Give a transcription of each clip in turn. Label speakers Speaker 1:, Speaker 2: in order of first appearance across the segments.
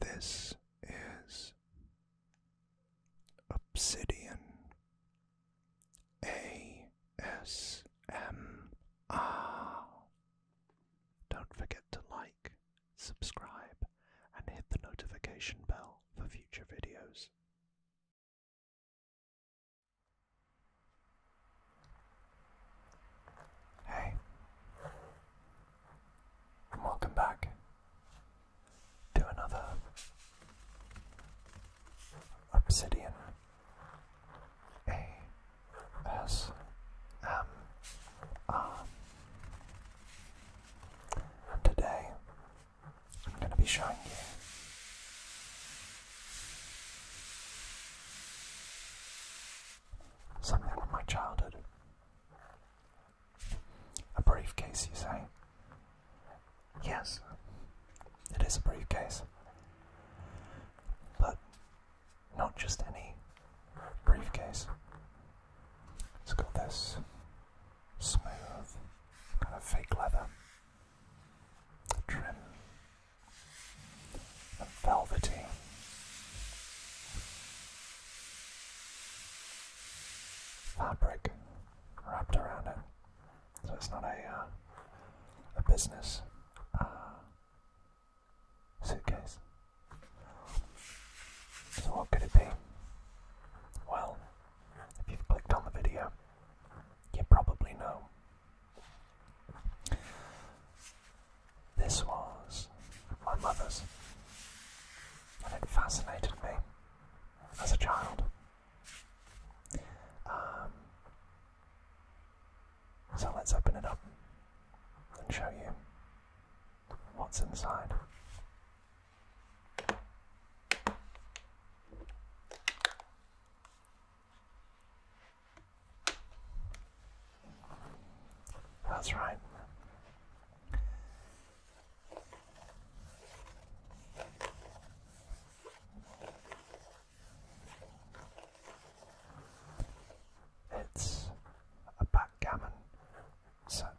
Speaker 1: This is Obsidian A S M R. Don't forget to like, subscribe, and hit the notification bell for future videos. Hey, and welcome back to another Obsidian ASMR. today I'm going to be showing you Something from my childhood. A briefcase, you say? Yes, it is a briefcase. But not just any briefcase. It's got this smooth kind of fake leather trim and velvety. Fabric wrapped around it, so it's not a uh, a business uh, suitcase. So what could it be? Well, if you've clicked on the video, you probably know this was my mother's, and it fascinated me as a child. Um, so let's open it up and show you what's inside. That's right. It's a backgammon set.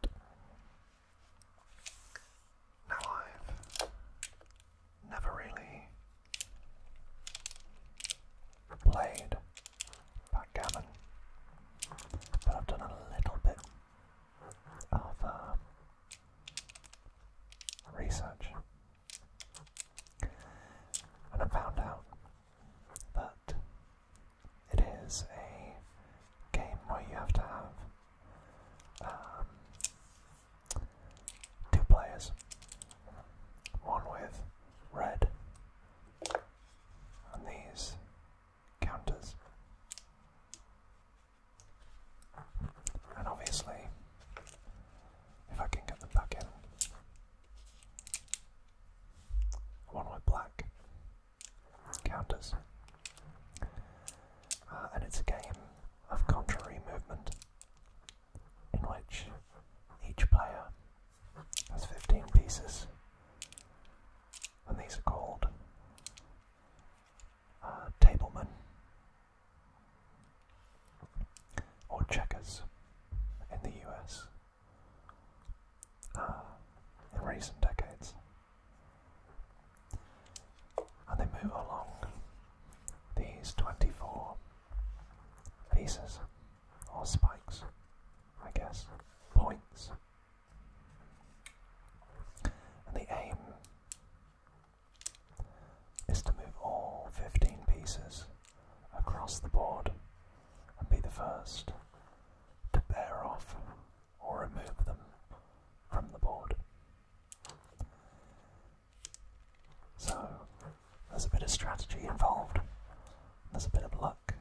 Speaker 1: Now I've never really played backgammon, but I've done a little bit of um, research and I found out that it is a game where you have to have um, two players. One with red and these counters. And obviously, if I can get them back in, one with black counters. Uh, and it's a game of contrary movement, in which each player has 15 pieces, and these are called uh, tablemen or checkers in the US uh, in recent decades and they move along these 24 pieces or spikes, I guess, points. And the aim is to move all 15 pieces across the board and be the first to bear off or remove them from the board. So, there's a bit of strategy involved, there's a bit of luck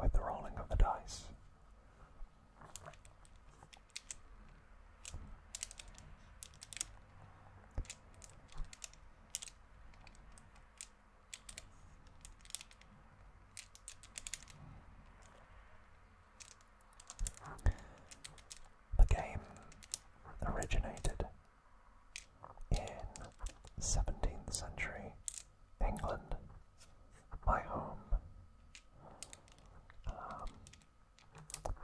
Speaker 1: with the rolling of the dice the game originated in 17th century England, my home. Um,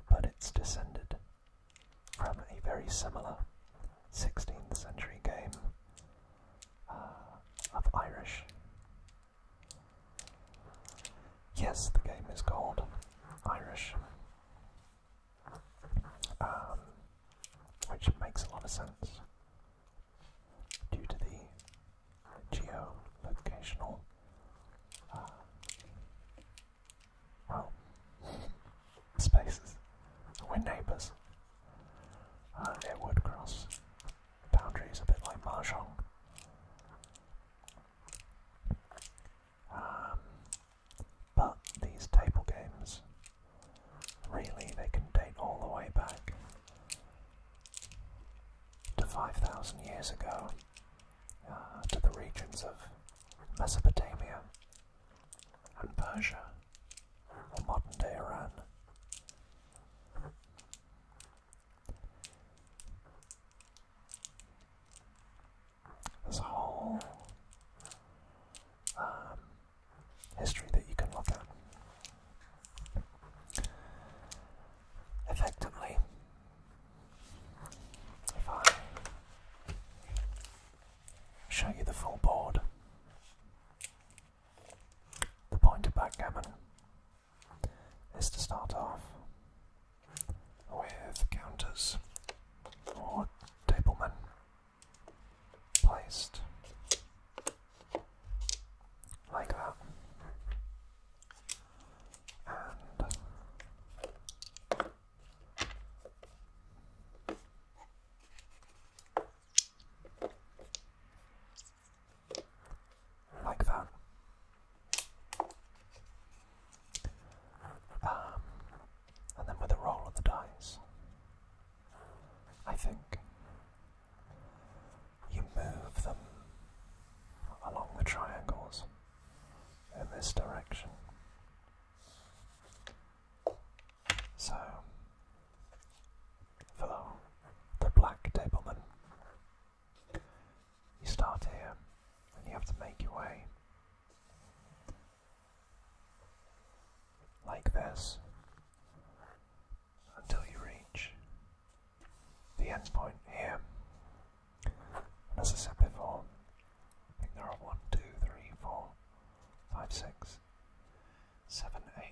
Speaker 1: but it's descended from a very similar 16th century game uh, of Irish Yes, the game is called Irish, um, which makes a lot of sense due to the geolocational. Uh, well, spaces. We're neighbours. it uh, would cross boundaries a bit like Mahjong. Um, but these table games, really, they can date all the way back to 5,000 years ago, uh, to the regions of Mesopotamia and Persia, or modern day Iran. There's um, history that you can look at. Effectively, if I show you the full board, the point of backgammon is to start off with counters or tablemen placed like that like that. Um, and then with the roll of the dice, I think you move them along the triangles in this direction. So, for the black tableman, you start here and you have to make your way. Like this until you reach the end point here. And as I said before, I think there are one, two, three, four, five, six, seven, eight.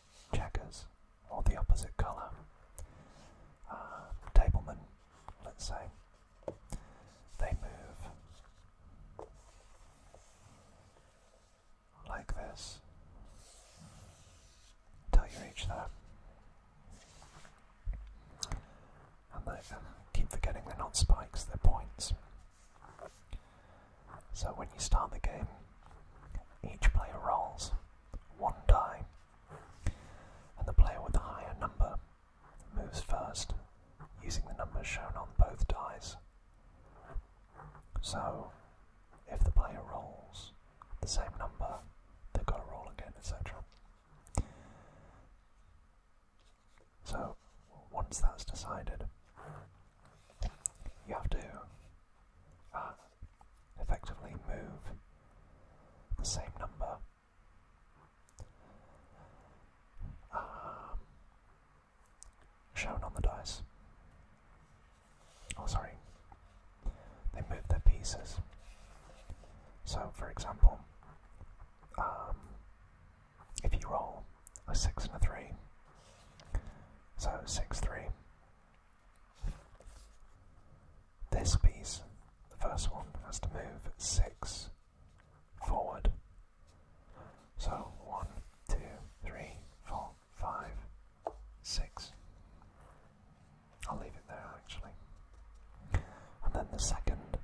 Speaker 1: checkers, or the opposite colour. Um, tablemen, let's say, they move like this until you reach there. And they keep forgetting they're not spikes, they're points. So when you start the game, each player rolls one die, and the player with the higher number moves first, using the numbers shown on both dice. So, if the player rolls the same number, they've got to roll again, etc. So, once that's decided, you have to and effectively move the same number. Um, shown on the dice. Oh, sorry. They move their pieces. So, for example, um, if you roll a 6 and a 3, so 6 3 this piece, the first one, has to move six forward. So one, two, three, four, five, six. I'll leave it there actually. And then the second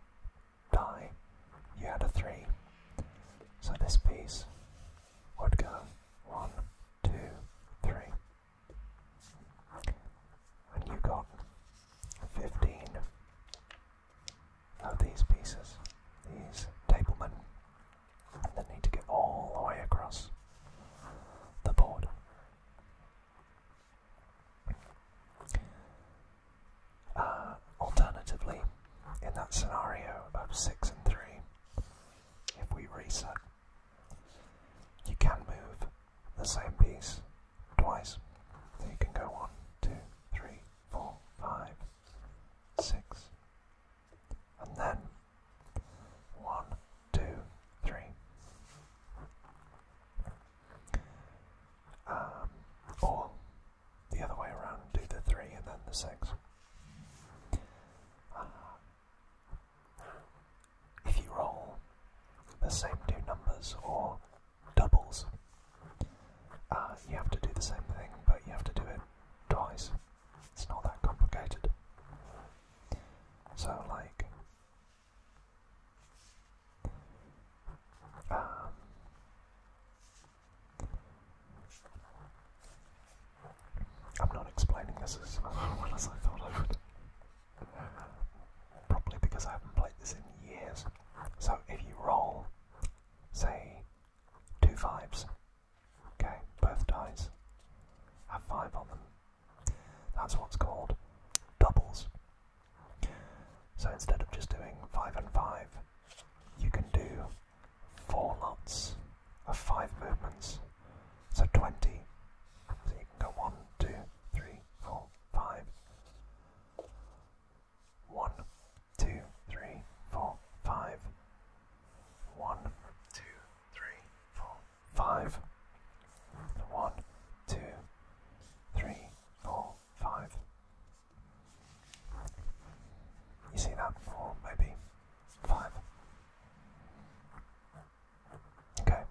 Speaker 1: die, you had a three. So this piece what go one, two, three. And you got 15 of these pieces, these tablemen, that need to get all the way across the board. Uh, alternatively, in that scenario of 6 and 3, if we reset, you can move the same piece twice. you can go one, two, three, four, five, six, and then one, two, three. Um, the other way around, do the 3 and then the 6. Uh, if you roll the same two numbers or doubles, uh, you have to do the same thing, but you have to do it twice. It's not that complicated. So, like, um, I'm not explaining this as well as I thought I would. Probably because I haven't played this in years. So if you roll, say, two fives, okay, both dice have five on them. That's what's called doubles. So instead of just doing five and five, you can do four knots of five movements. So 20. So you can go one, two, three, four, five. One, two, three, four, five. One, two, three, four, five. One, two, three, four, five. You see that? Or maybe five. Okay.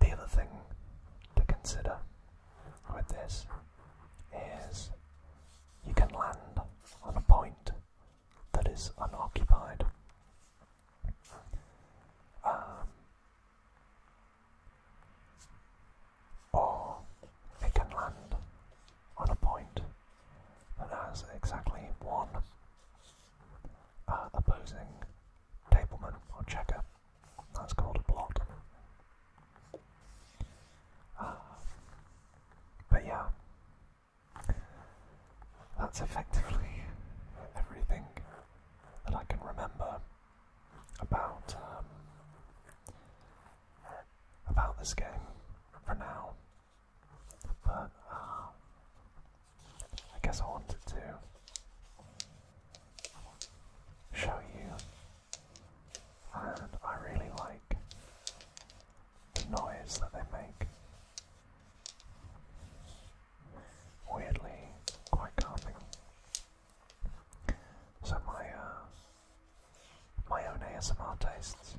Speaker 1: The other thing to consider with this is you can land on a point that is unoccupied. Um, or it can land on a point that has exactly one uh, opposing tableman or checker. That's called a blot. Uh, but yeah, that's effectively everything that I can remember about um, about this game for now. But uh, I guess I wanted to show you, and I really like the noise that they make. Weirdly, quite calming. So my uh, my own ASMR tastes.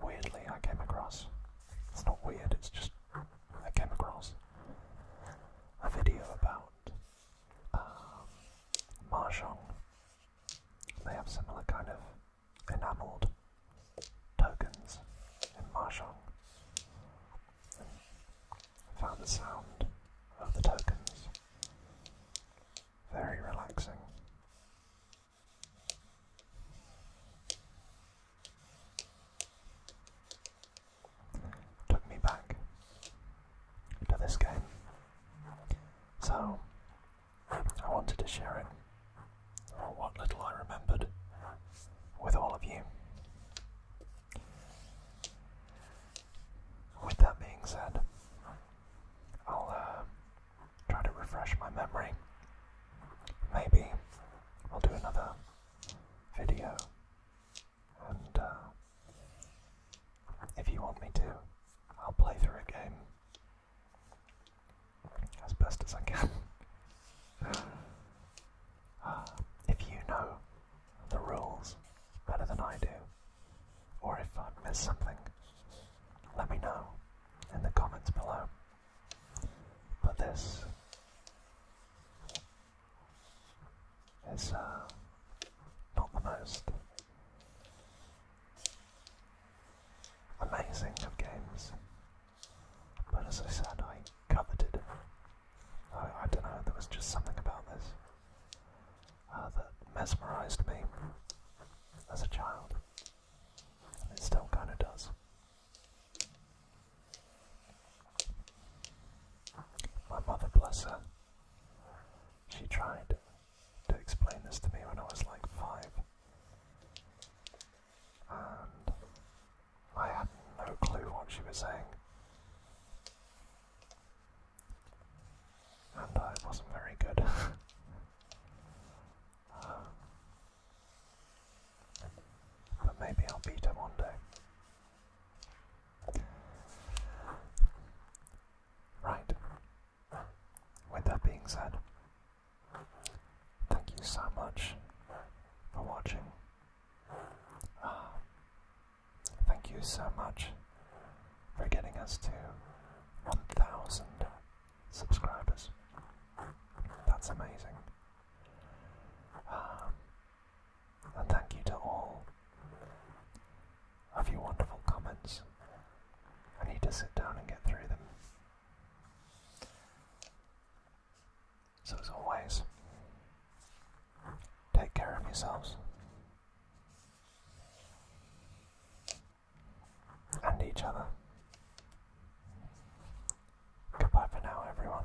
Speaker 1: Weirdly, I came across. It's not weird. It's just I came across a video about um, they have similar kind of enameled tokens in Mahjong. And I found the sound of the tokens very relaxing. Took me back to this game. So I wanted to share it, or oh, what little I remembered, with all of you. With that being said, I'll uh, try to refresh my memory. Maybe I'll do another video and uh, if you want me to, I'll play through a game as best as I can. Ah, if you know the rules better than I do, or if I've missed something, let me know in the comments below. But this is uh, not the most amazing of games. But as I said, I coveted. I, don't know, there was just something about this uh, that mesmerised me as a child. And it still kind of does. My mother, bless her, she tried to explain this to me when I was like five. And I had no clue what she was saying. And I wasn't very good. Um, but maybe I'll beat her one day. Right. With that being said, thank you so much for watching. Uh, thank you so much for getting us to 1,000 subscribers. That's amazing. Um, and thank you to all of your wonderful comments. I need to sit down and get through them. So, as always, take care of yourselves and each other. Goodbye for now, everyone.